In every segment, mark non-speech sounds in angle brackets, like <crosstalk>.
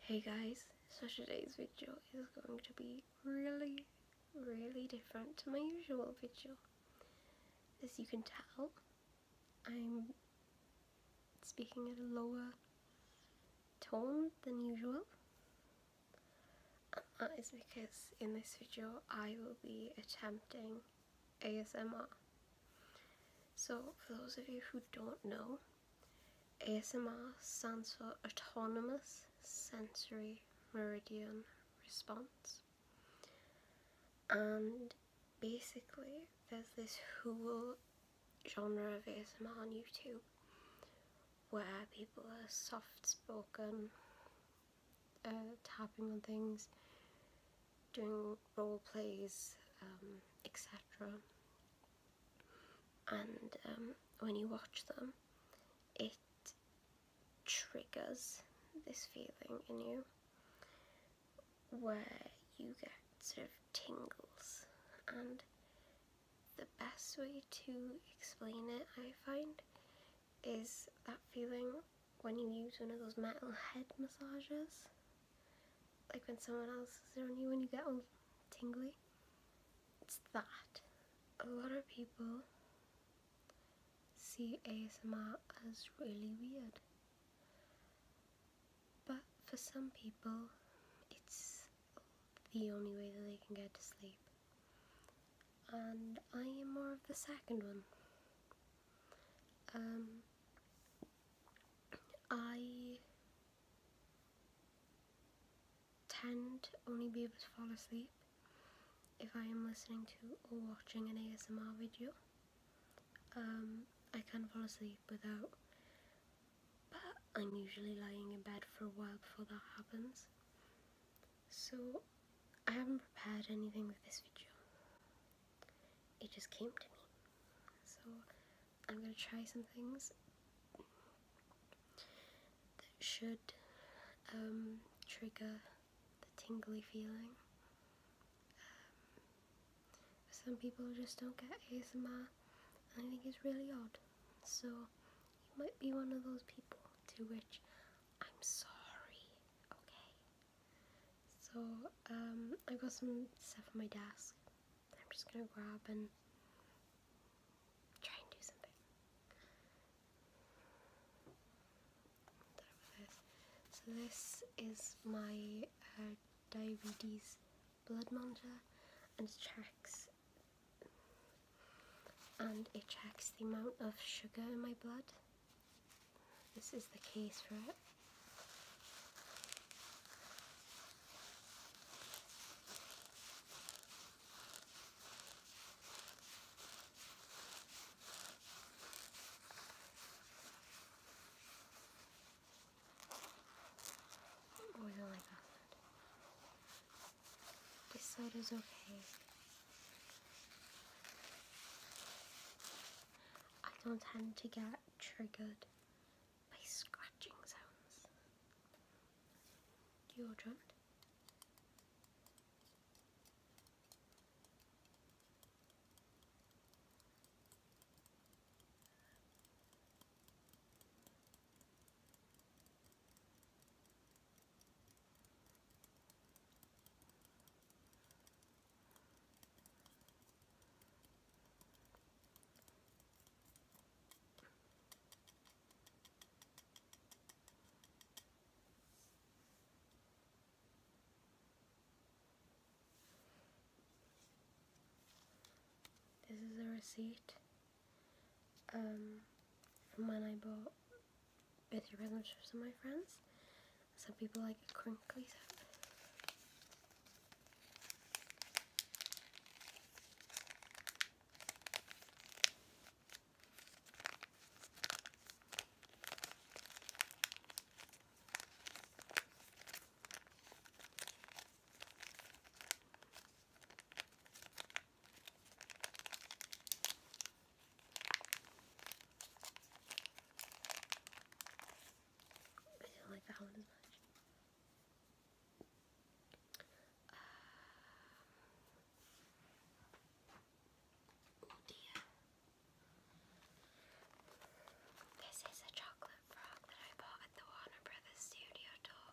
Hey guys, so today's video is going to be really, really different to my usual video. As you can tell, I'm speaking at a lower tone than usual. And uh, that is because in this video I will be attempting ASMR. So for those of you who don't know, ASMR stands for Autonomous Sensory Meridian Response. And basically, there's this whole genre of ASMR on YouTube where people are soft spoken, uh, tapping on things, doing role plays, um, etc and um, when you watch them, it triggers this feeling in you where you get sort of tingles and the best way to explain it I find is that feeling when you use one of those metal head massages like when someone else is on you when you get all tingly. It's that. A lot of people see ASMR as really weird. But for some people, it's the only way that they can get to sleep. And I am more of the second one. Um, I tend to only be able to fall asleep if I am listening to or watching an ASMR video. Um, I can fall asleep without, but I'm usually lying in bed for a while before that happens. So I haven't prepared anything with this video. It just came to me. So I'm gonna try some things that should um, trigger the tingly feeling. Um, some people just don't get ASMR, and I think it's really odd. So you might be one of those people to which I'm sorry, okay? So um, I got some stuff on my desk. I'm just gonna grab and try and do something. So this is my uh, diabetes blood monitor and it checks and it tracks the amount of sugar in my blood. This is the case for it. This side is okay. I don't tend to get triggered by scratching sounds. Deodorant. This is a receipt um, from when I bought birthday presents for my friends. Some people like a crinkly I don't like that one as much. Um, oh This is a chocolate frog that I bought at the Warner Brothers studio tour.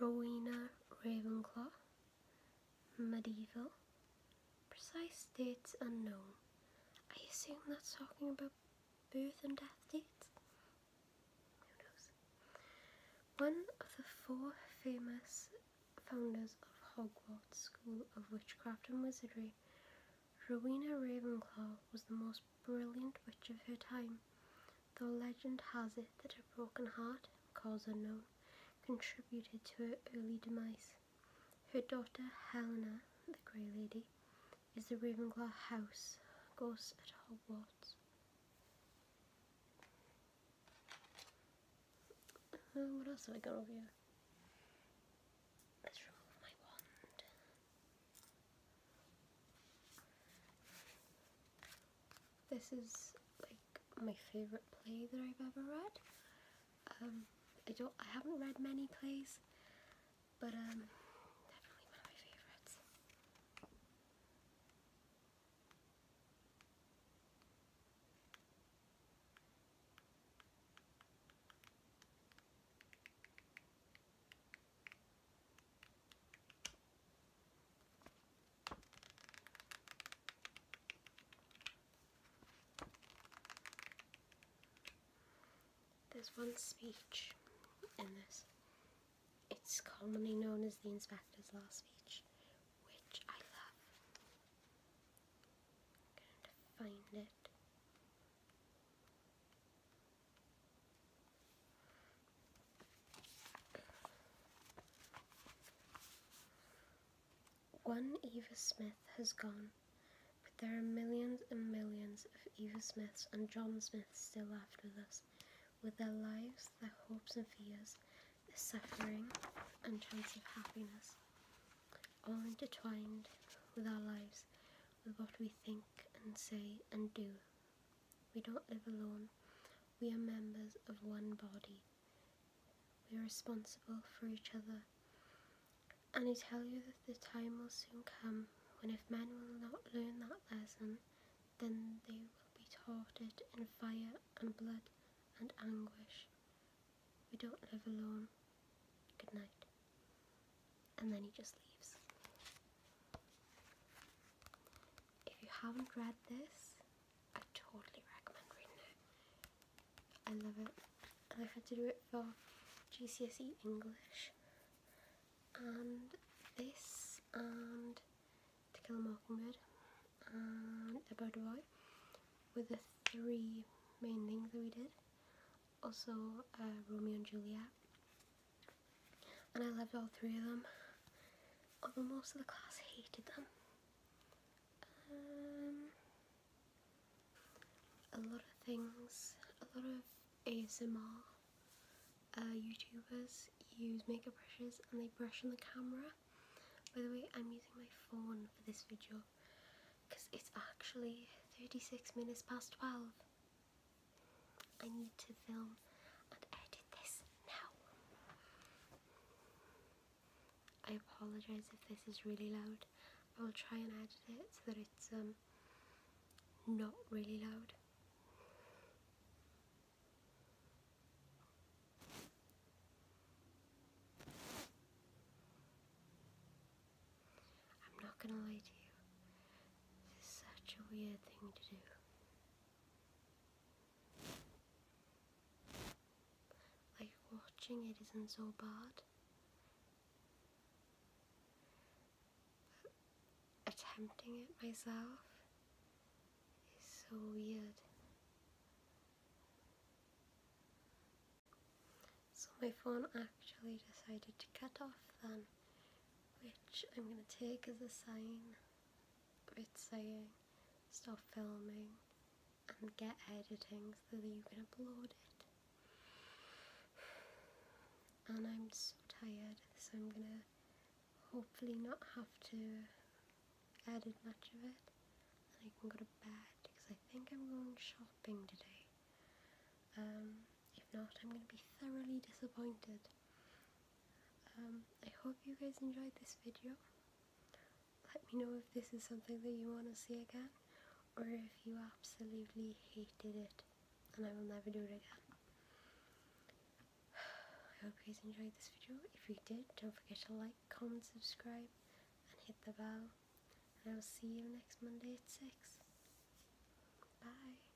Rowena Ravenclaw, medieval, precise dates unknown. I assume that's talking about birth and death dates. Who knows? One of the four famous founders of Hogwarts School of Witchcraft and Wizardry, Rowena Ravenclaw was the most brilliant witch of her time, Though legend has it that a broken heart, cause unknown, contributed to her early demise. Her daughter Helena, the Grey Lady, is the Ravenclaw house ghost at Hogwarts. Uh, what else have I got over here? Let's remove my wand. This is like my favourite play that I've ever read. Um, I don't, I haven't read many plays, but um, definitely one of my favourites. There's one speech in this. It's commonly known as the Inspector's Last Speech, which I love. find it. One Eva Smith has gone, but there are millions and millions of Eva Smiths and John Smiths still left with us, with their lives, their hopes and fears, their suffering and chance of happiness, all intertwined with our lives, with what we think and say and do we don't live alone. We are members of one body. We are responsible for each other. And I tell you that the time will soon come when if men will not learn that lesson, then they will be tortured in fire and blood and anguish. We don't live alone. Good night. And then he just leaves. If you haven't read this, I totally recommend reading it. I love it. And I had to do it for GCSE English. And this, and To Kill a Mockingbird, and A Boy were the three main things that we did. Also, uh, Romeo and Juliet and I loved all three of them, although most of the class hated them. Um, a lot of things, a lot of ASMR uh, YouTubers use makeup brushes and they brush on the camera. By the way, I'm using my phone for this video because it's actually 36 minutes past 12 I need to film and edit this now. I apologize if this is really loud. I will try and edit it so that it's um, not really loud. I'm not gonna lie to you. This is such a weird thing to do. Like watching it isn't so bad. attempting it myself is so weird. So my phone actually decided to cut off then which I'm going to take as a sign of it saying stop filming and get editing so that you can upload it. And I'm so tired, so I'm going to hopefully not have to edit much of it. And I can go to bed because I think I'm going shopping today. Um, if not, I'm going to be thoroughly disappointed. Um, I hope you guys enjoyed this video. Let me know if this is something that you want to see again, or if you absolutely hated it and I will never do it again. <sighs> I hope you guys enjoyed this video. If you did, don't forget to like, comment, subscribe, and hit the bell. I will see you next Monday at 6. Bye.